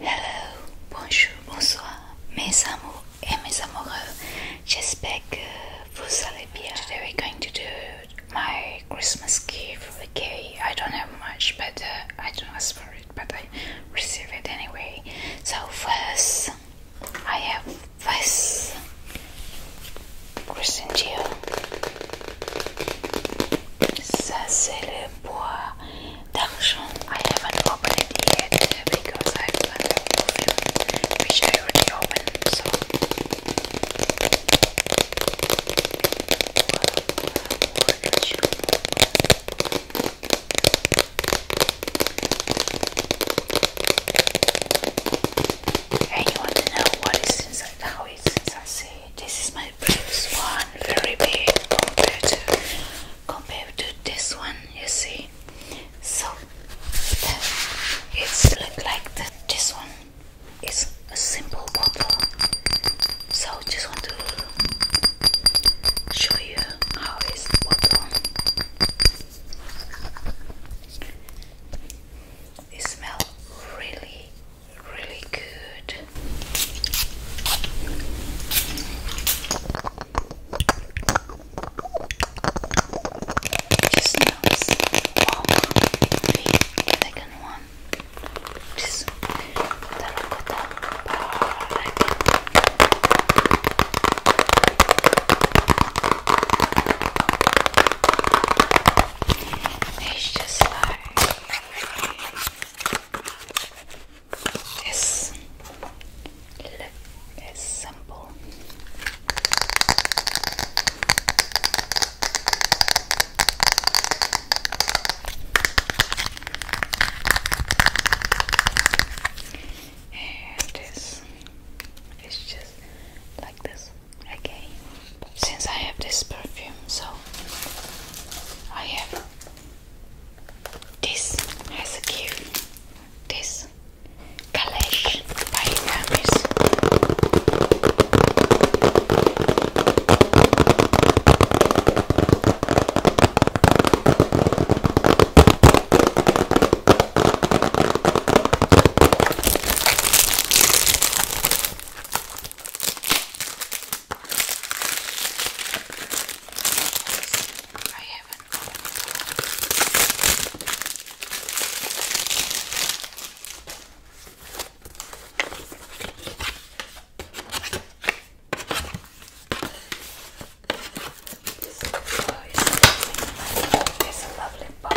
Hello, bonjour, bonsoir, mes amours et mes amoureux. J'espère que vous allez bien. Today we're going to do my Christmas gift. Okay, I don't have much, but uh, I don't ask for it, but I receive it anyway. So first, I have first Christmas Dior. Ça c'est le bois Dungeon. I haven't opened it yet because I have plenty of perfume which I already opened. So. know what is inside? How is inside? this is my eyebrows one very big compared to compared to this one you see so uh, it's like that this one is a simple bottle so just want to show you how is the bottle it smells really really good it smells the second one. This terracotta powder. It's just like is look is simple. And this is just like this. Okay. Since I have this perfume, so I have this has a cute this Kalesh by Hermes. I haven't opened this book is lovely. It's a lovely box.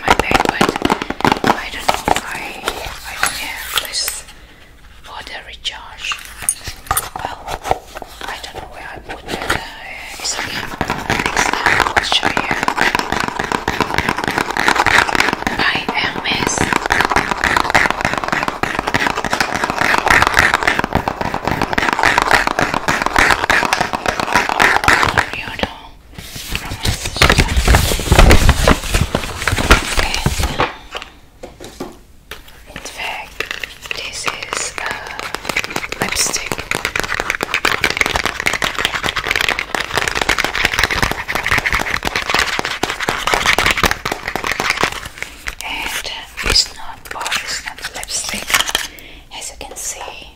my bed, I don't know if I do have this water recharge. Well, I don't know where I put it. Uh, it's okay. I'll show you. I am mess. You from my this is lipstick. And it's not it's not lipstick. As you can see,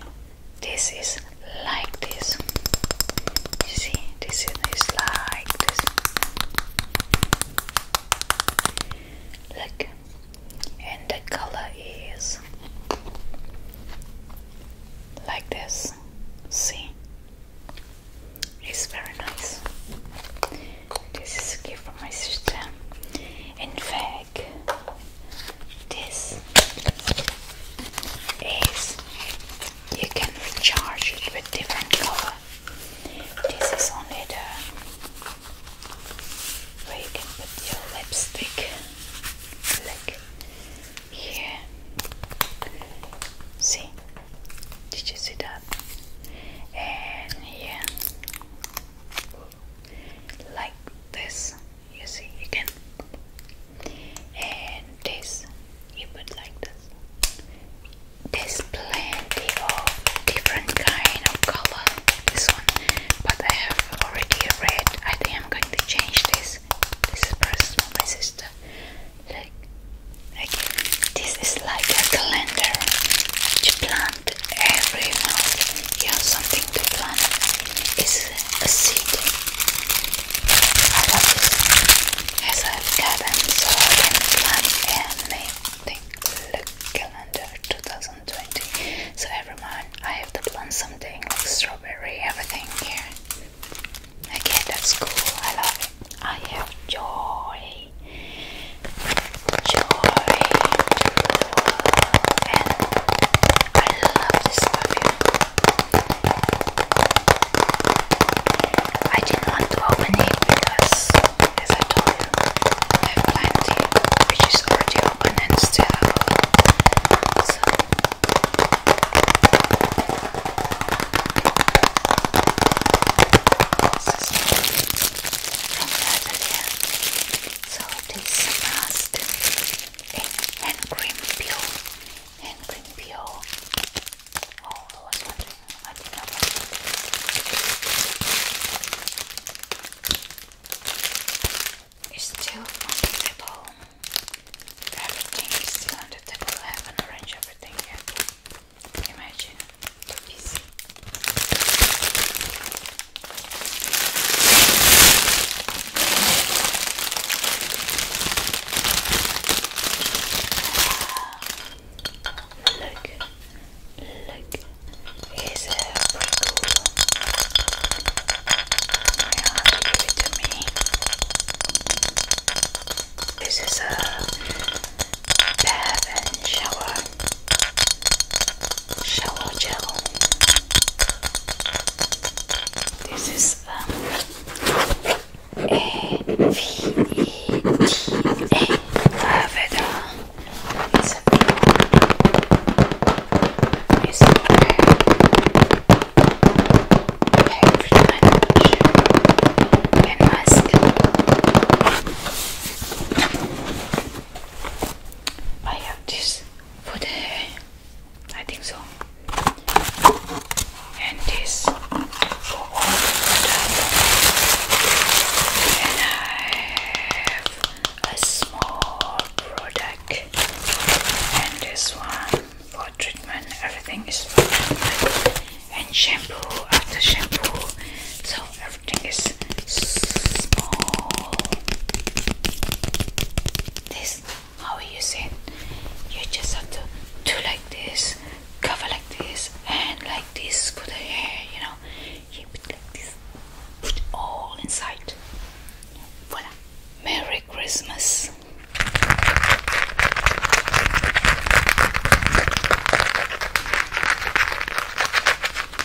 this is like this. You see, this is like this. Look, and the color is like this. See, it's very nice. This is a gift from my sister. In fact this is you can recharge with different color. This is only the where you put your lipstick like here. See? Did you see that? And here like this you see you can and this you put like this there's plenty of different kind of color this one but I have already read I think I'm going to change this this is personal my sister like, like this is like a calendar you plant every month you have something to plant it's seed. I love this. Has a garden so I can plant and Look, calendar 2020. So every I have to plant like strawberry, everything here. Okay, that's cool. I love it. I have joy. Joy, and I I didn't want to open it because, as I told you, I have plenty which is already open and still have So. This is from Natalia a hand cream peel. Hand cream Oh, I was wondering. I did not want it. It's still on the table. Everything is still on the table. I haven't arranged everything yet. Imagine, Look, look, here's a prickle. My aunt gave it to me. This is a bath and shower, shower gel. This is um, a V E T A Aveda. It's a blue. It's a very, very I have this for the I think so. And this And I have a small product. And this one for treatment. Everything is for And shampoo after shampoo. So everything is small this how are you it. You just have to do like this, cover like this, and like this for the hair. You know, you put like this, put all inside. Voila! Merry Christmas.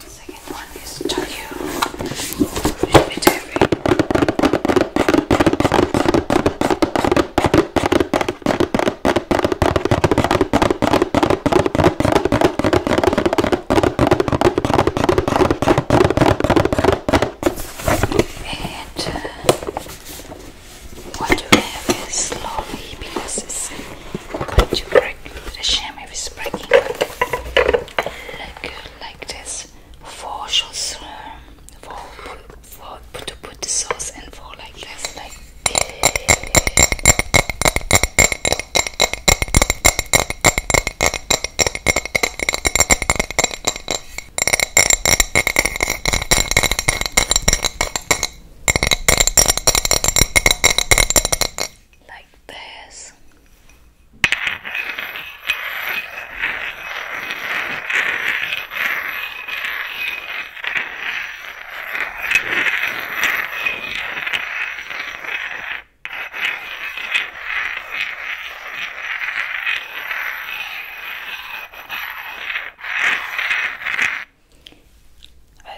Second one is Tokyo. And uh, what you have is slowly because it's going to break. The sham is breaking. Like like this four sauce for, um, for, to put the sauce and four like this like this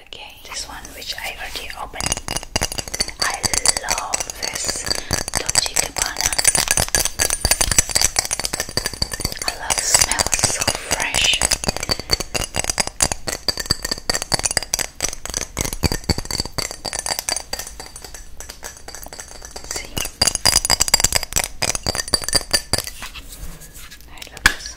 Okay, this one which I already opened I love this Don't Dolce Gabbana. I love the smell, so fresh. See? I love this.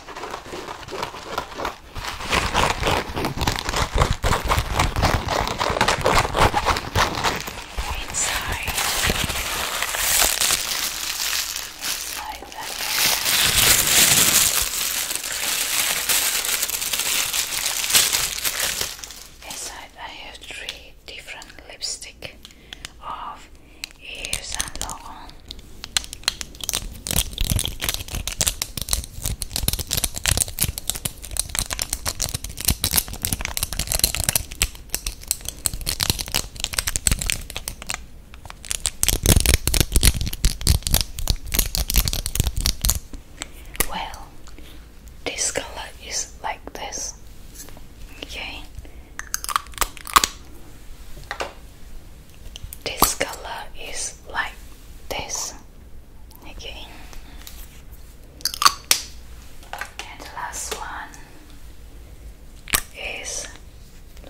Inside, inside that Inside, I have three different lipstick of Yves Saint Laurent. Well, this color is like this. Okay. This color is like this. Okay. the last one is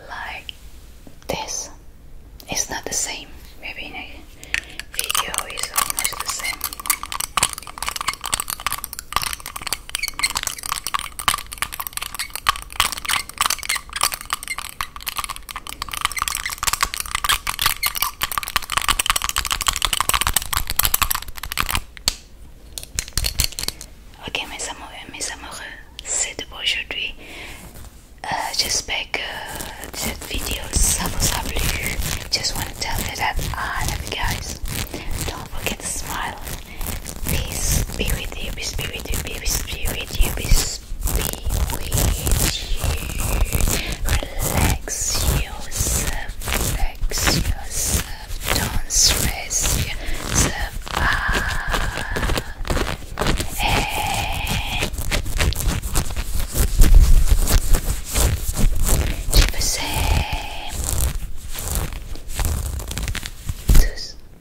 like this. It's not the same. Maybe in video is almost the same. Ok mes amoureux, mes amoureux, c'est tout pour aujourd'hui. Euh, J'espère que cette vidéo ça vous a plu. Just want to tell you that I love you guys. Don't forget to smile. Peace be with you, peace be with you, peace be with you, be with you. Relax yourself, relax yourself, don't stress yourself Hey. Je vous